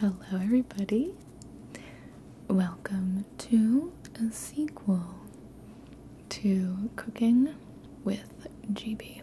Hello, everybody. Welcome to a sequel to Cooking with GB.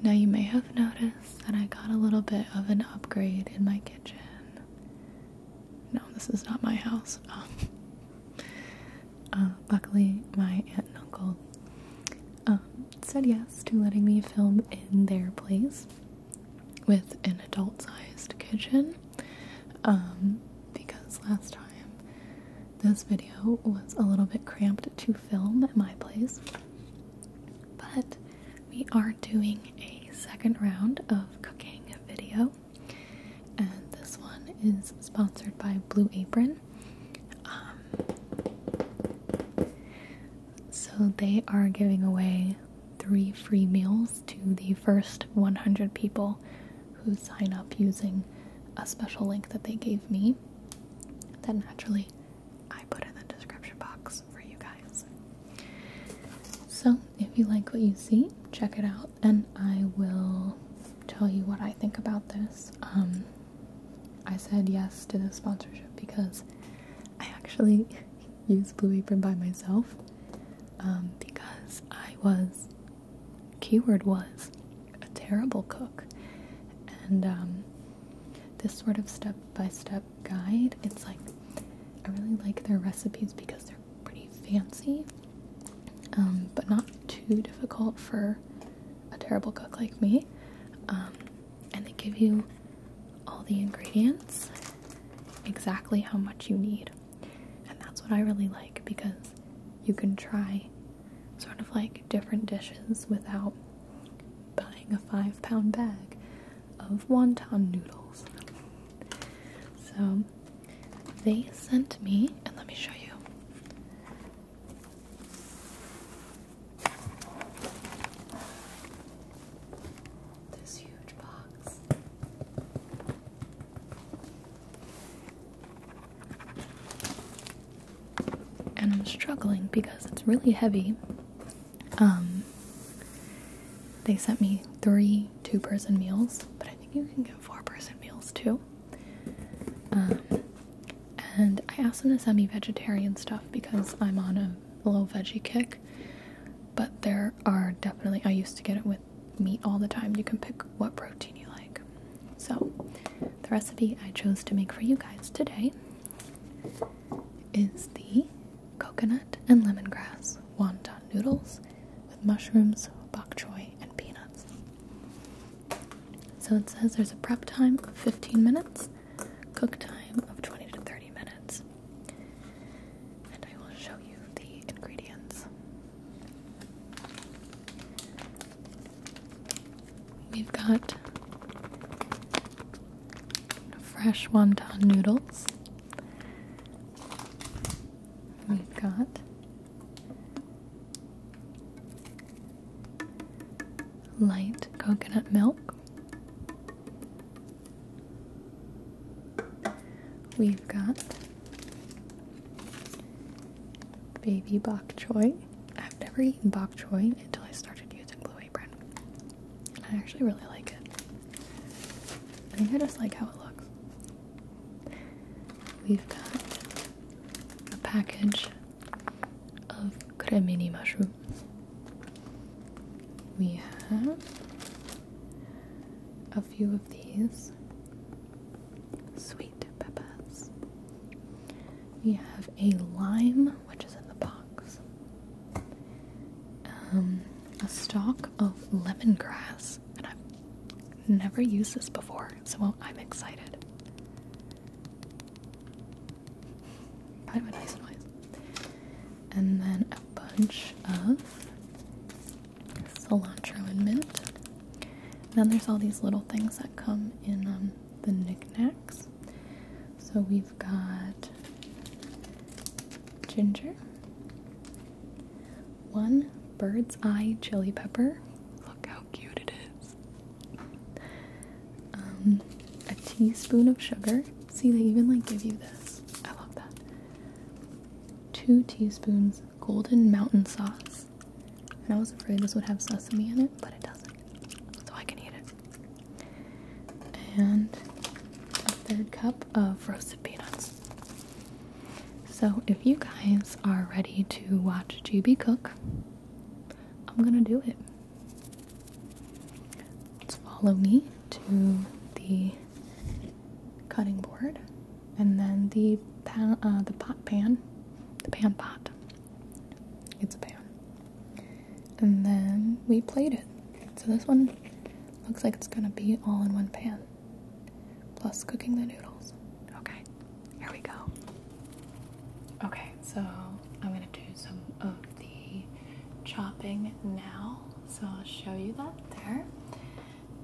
Now, you may have noticed that I got a little bit of an upgrade in my kitchen. No, this is not my house. Uh, luckily, my aunt and uncle um, said yes to letting me film in their place with an adult sized kitchen um, because last time this video was a little bit cramped to film at my place. But we are doing a second round of cooking video, and this one is sponsored by Blue Apron. Um, so they are giving away three free meals to the first 100 people who sign up using a special link that they gave me. That naturally I put in the description box for you guys. So if you like what you see, check it out and I will tell you what I think about this. Um, I said yes to the sponsorship because I actually use Blue Apron by myself um, because I was, keyword was, a terrible cook. And um, this sort of step by step guide, it's like, I really like their recipes because they're pretty fancy, um, but not too difficult for a terrible cook like me and they give you all the ingredients exactly how much you need. And that's what I really like because you can try sort of like different dishes without buying a five pound bag of wonton noodles. So they sent me, and let me show you. This huge box. And I'm struggling because it's really heavy. Um, they sent me three two person meals, but I think you can get four person meals too. Um, and I asked them to send me vegetarian stuff because I'm on a low veggie kick. But there are definitely, I used to get it with meat all the time. You can pick what protein you like. So, the recipe I chose to make for you guys today is the coconut and lemongrass wonton noodles with mushrooms, bok choy, and peanuts. So, it says there's a prep time of 15 minutes cook time of 20 to 30 minutes. And I will show you the ingredients. We've got fresh wonton noodles. We've got light coconut milk. We've got baby bok choy. I've never eaten bok choy until I started using Blue Apron. I actually really like it. I think I just like how it looks. We've got a package of cremini mushroom. We have a few of these sweet peppers. We have a lime, which is in the box, um, a stalk of lemongrass, and I've never used this before, so I'm excited kind of And then a bunch of cilantro and mint. Then there's all these little things that come in um, the knickknacks. So we've got ginger, one bird's eye chili pepper. Look out! cute it is. Um, a teaspoon of sugar. See, they even like give you this. I love that. Two teaspoons golden mountain sauce. And I was afraid this would have sesame in it, but it doesn't. So I can eat it. And a third cup of roasted peanuts. So if you guys are ready to watch GB cook, I'm gonna do it. Let's follow me to the cutting board and then the pan, uh, the pot pan, the pan pot. It's a pan. And then we plate it. So this one looks like it's gonna be all in one pan, plus cooking the noodles. Okay, here we go. Okay, so I'm gonna do some of the chopping now. So I'll show you that there.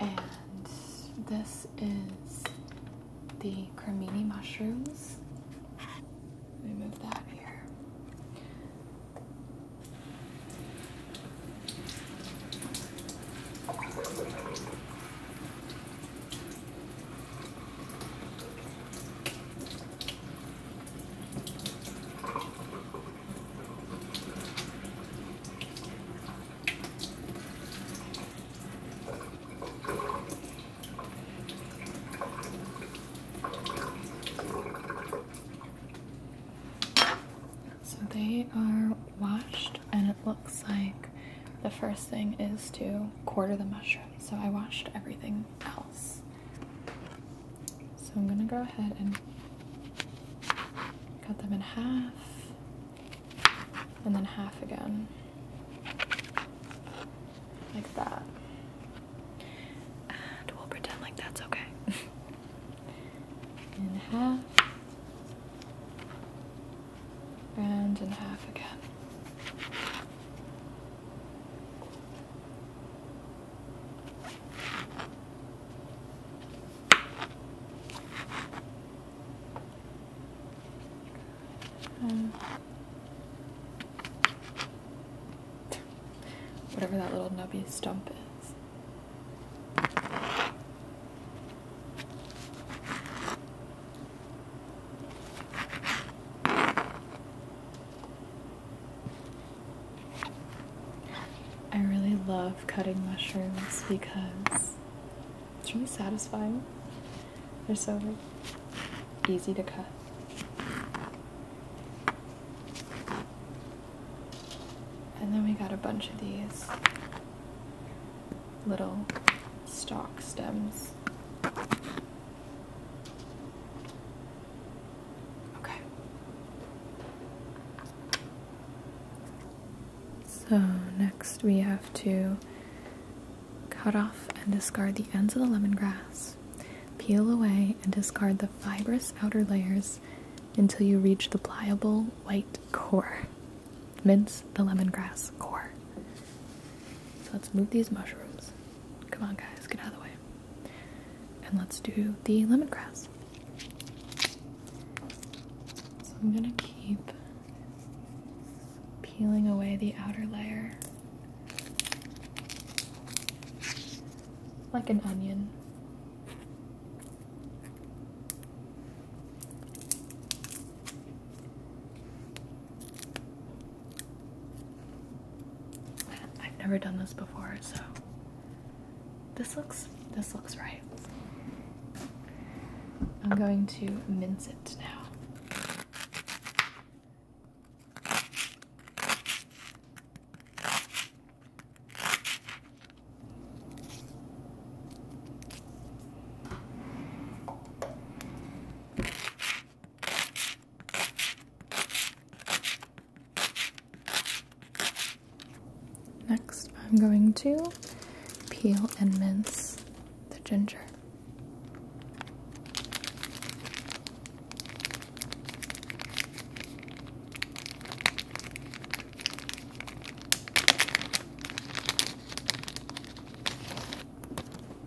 And this is the cremini mushrooms. Remove that here. So they are washed, and it looks like the first thing is to quarter the mushroom so I watched everything else. So I'm gonna go ahead and cut them in half and then half again, like that. And we'll pretend like that's okay. in half and in half again whatever that little nubby stump is. I really love cutting mushrooms because it's really satisfying. They're so easy to cut. And then we got a bunch of these little stalk stems. Okay. So next we have to cut off and discard the ends of the lemongrass. Peel away and discard the fibrous outer layers until you reach the pliable white core. Mince the lemongrass core. So let's move these mushrooms. Come on, guys, get out of the way. And let's do the lemongrass. So I'm gonna keep peeling away the outer layer like an onion. I've never done this before, so this looks this looks right. I'm going to mince it now. Next, I'm going to peel and mince the ginger.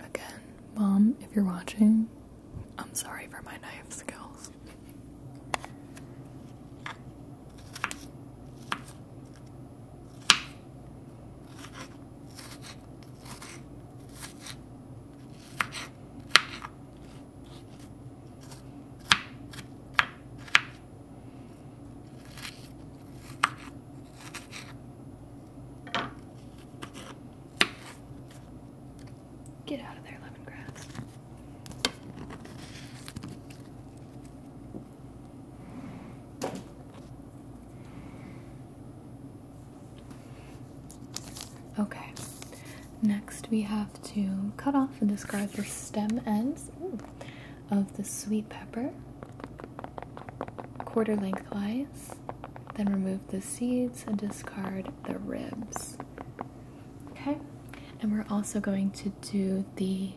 Again, Mom, if you're watching, I'm sorry for my knife skills. Get out of there, lemongrass. Okay, next we have to cut off and discard the stem ends of the sweet pepper quarter lengthwise, then remove the seeds and discard the ribs. Okay, and we're also going to do the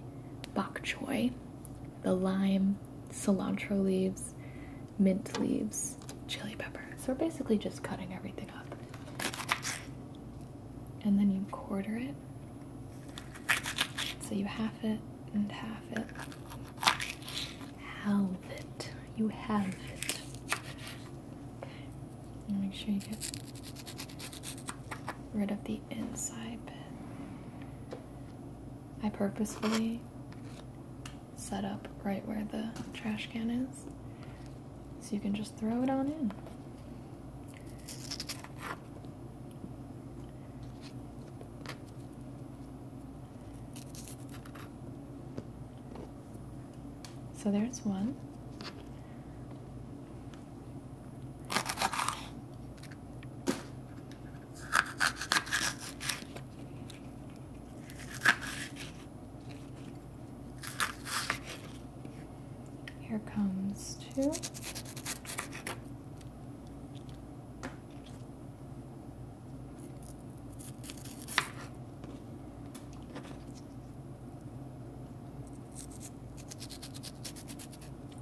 bok choy, the lime, cilantro leaves, mint leaves, chili pepper. So we're basically just cutting everything up. And then you quarter it. So you half it and half it. Halve it. You have it. Okay. And make sure you get rid of the inside bit. I purposefully set up right where the trash can is so you can just throw it on in. So there's one. Here comes two.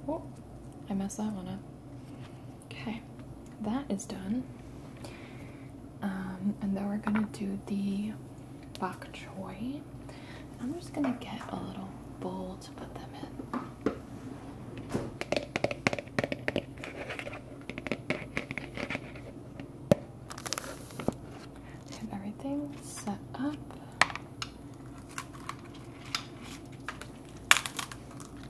Oh, I messed that one up. Okay, that is done. Um, and then we're gonna do the bok choy. I'm just gonna get a little bowl to put them in. have everything set up.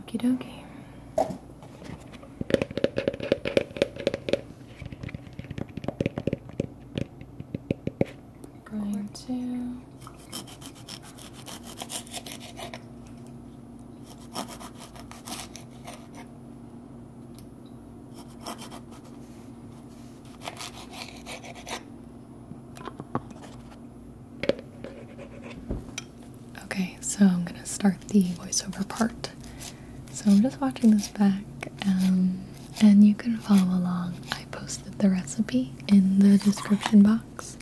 Okie dokie. Going to Okay, so I'm gonna start the voiceover part. So I'm just watching this back, um, and you can follow along. I posted the recipe in the description box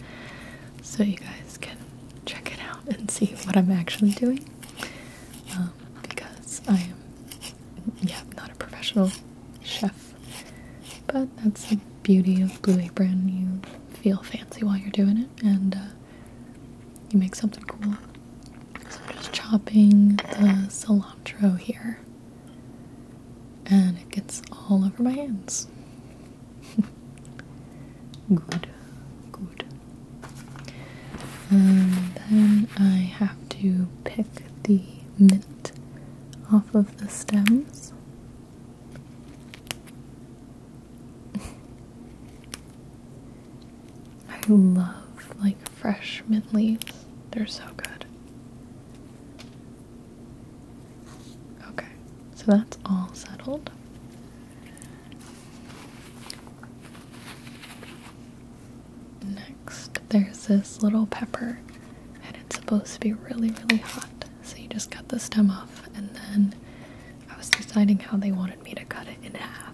so you guys can check it out and see what I'm actually doing. Um, because I am, yeah, not a professional chef, but that's the beauty of Blue Apron. You feel fancy while you're doing it, and uh, you make something cool. So I'm just chopping the cilantro here. And it gets all over my hands. good, good. And then I have to pick the mint off of the stems. I love like fresh mint leaves. They're so good. Okay, so that's all settled. Next, there's this little pepper, and it's supposed to be really, really hot. So you just cut the stem off and then I was deciding how they wanted me to cut it in half.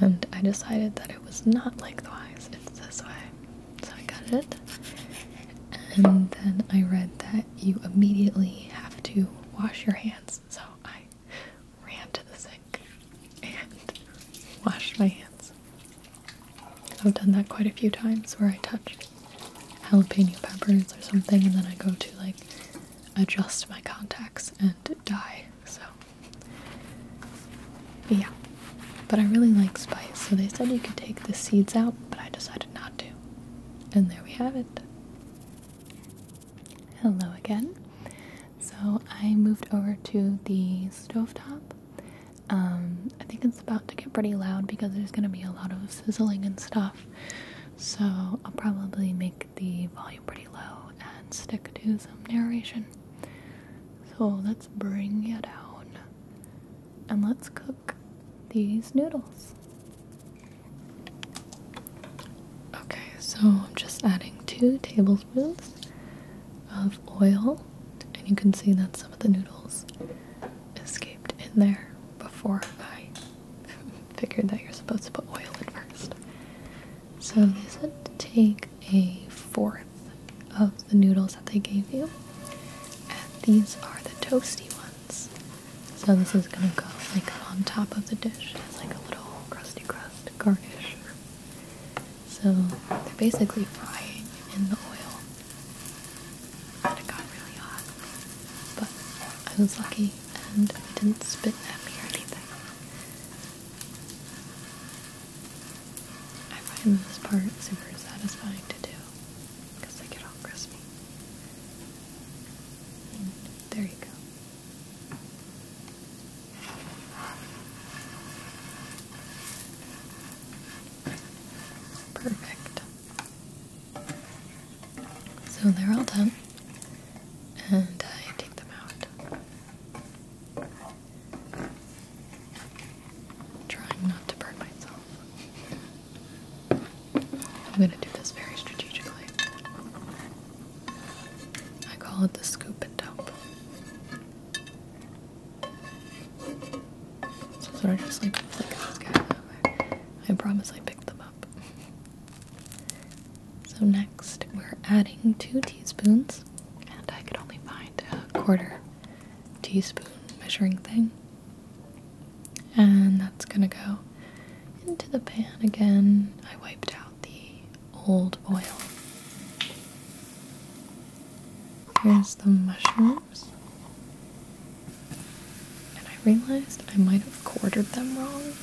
And I decided that it was not lengthwise, it's this way. So I cut it. And then I read that you immediately have to wash your hands. So I ran to the sink and washed my hands. I've done that quite a few times where I touch jalapeno peppers or something and then I go to like adjust my contacts and die. So, yeah. But I really like spice, so they said you could take the seeds out, but I decided not to. And there we have it. Hello again. So I moved over to the stove top. Um, I think it's about to get pretty loud because there's going to be a lot of sizzling and stuff. So I'll probably make the volume pretty low and stick to some narration. So let's bring it out, and let's cook these noodles. Okay, so I'm just adding two tablespoons of oil, and you can see that some of the noodles escaped in there before I figured that you're supposed to put oil in first. So they would take a fourth of the noodles that they gave you. And these are the toasty ones. So this is gonna go like on top of the dish as like a little crusty crust garnish. So they're basically frying in the oil. And it got really hot. But I was lucky and I didn't spit at me or anything. I find this part super satisfying to do because they get all crispy. there you go. Perfect. So they're all done, and I take them out. Trying not to burn myself. I'm gonna do this very strategically. I call it the scoop and dump. So, so I just like flick these guys out. I promise I picked them up. So next we're adding two teaspoons and I could only find a quarter teaspoon measuring thing. And that's gonna go into the pan again. I wiped out the old oil. Here's the mushrooms. And I realized I might have quartered them wrong.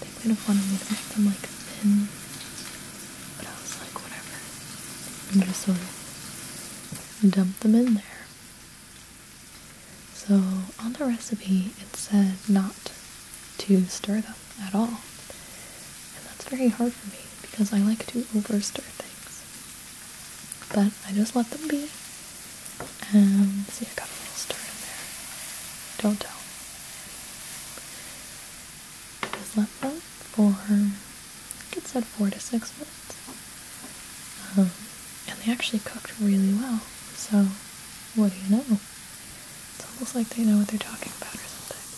They might have wanted me to make them like thin. But I was like, whatever. And just sort of dump them in there. So on the recipe, it said not to stir them at all. And that's very hard for me because I like to over stir things. But I just let them be and see, I got a little star in there. Don't tell. I just left that for, I think it said four to six minutes, um, and they actually cooked really well. So, what do you know? It's almost like they know what they're talking about or something.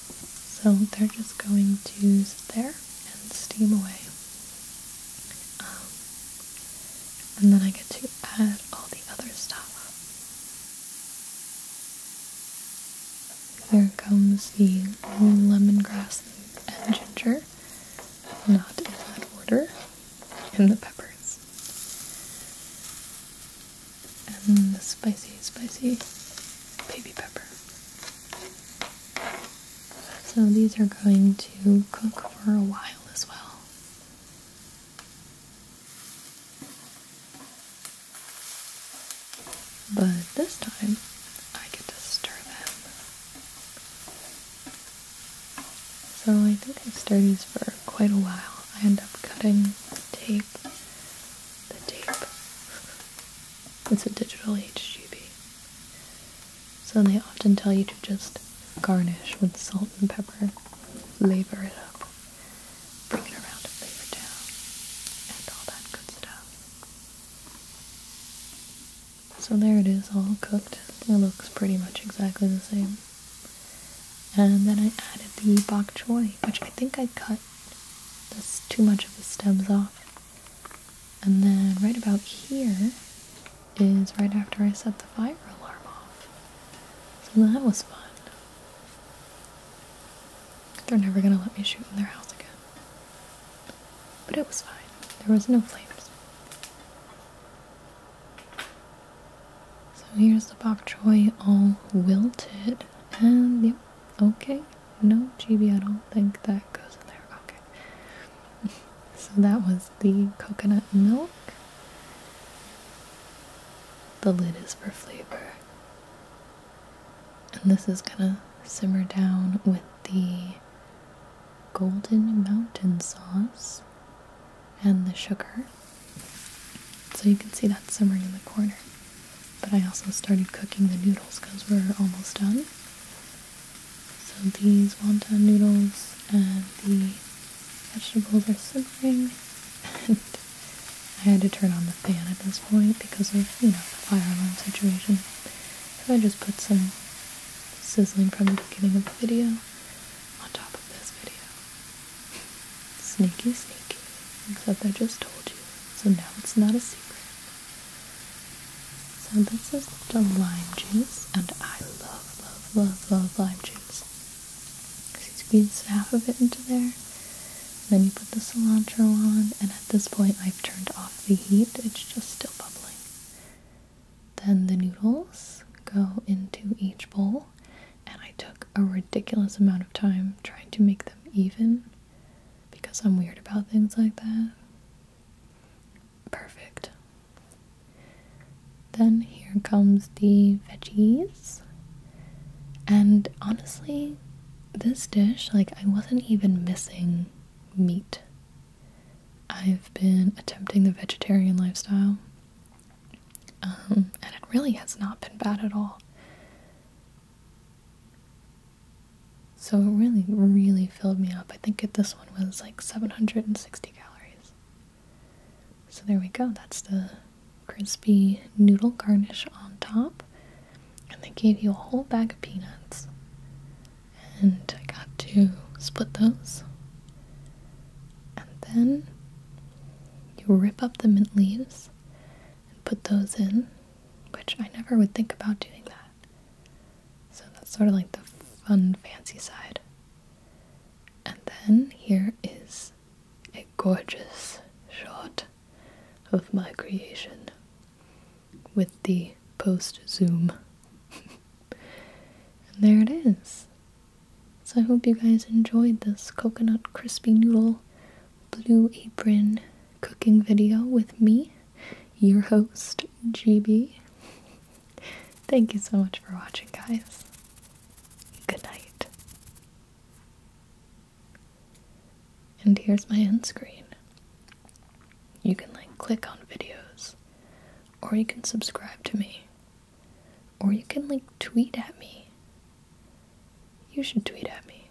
So, they're just going to sit there and steam away. Um, and then I get to add all the other stuff. There comes the lemongrass and ginger, not in that order, and the peppers. And the spicy, spicy baby pepper. So these are going to cook for a while as well. But this time, I get to stir them. So I think I stir these for quite a while. I end up cutting tape, the tape. It's a digital HGB. So they often tell you to just garnish with salt and pepper, flavor it up, bring it around to flavor down, and all that good stuff. So there it is, all cooked. It looks pretty much exactly the same. And then I added the bok choy, which I think I cut this too much of the stems off. And then right about here is right after I set the fire alarm off. So that was fun. They're never gonna let me shoot in their house again. But it was fine. There was no flames. So here's the bok choy all wilted. And yep, okay. No chibi, I don't think that goes in there. Okay so that was the coconut milk. The lid is for flavor. And this is gonna simmer down with the golden mountain sauce and the sugar. So you can see that simmering in the corner. But I also started cooking the noodles because we're almost done. So these wonton noodles and the vegetables are simmering and I had to turn on the fan at this point because of, you know, the fire alarm situation. So I just put some sizzling from the beginning of the video on top of this video. Sneaky, sneaky. Except I just told you. So now it's not a secret. So this is the lime juice, and I love, love, love, love lime juice. Because you squeeze half of it into there, and then you put the cilantro on, and at this point I've turned off the heat, it's just still bubbling. Then the noodles go into each bowl, and I took a ridiculous amount of time trying to make them even because I'm weird about things like that. Perfect. Then here comes the veggies. And honestly, this dish, like, I wasn't even missing meat. I've been attempting the vegetarian lifestyle, um, and it really has not been bad at all. So it really, really filled me up. I think this one was like 760 calories. So there we go. That's the crispy noodle garnish on top. And they gave you a whole bag of peanuts. And I got to split those. And then you rip up the mint leaves and put those in, which I never would think about doing that. So that's sort of like the fun, fancy side. And then here is a gorgeous shot of my creation with the post zoom. and there it is. So I hope you guys enjoyed this coconut crispy noodle blue apron cooking video with me your host, GB. Thank you so much for watching, guys. Good night. And here's my end screen. You can like click on videos, or you can subscribe to me, or you can like tweet at me. You should tweet at me.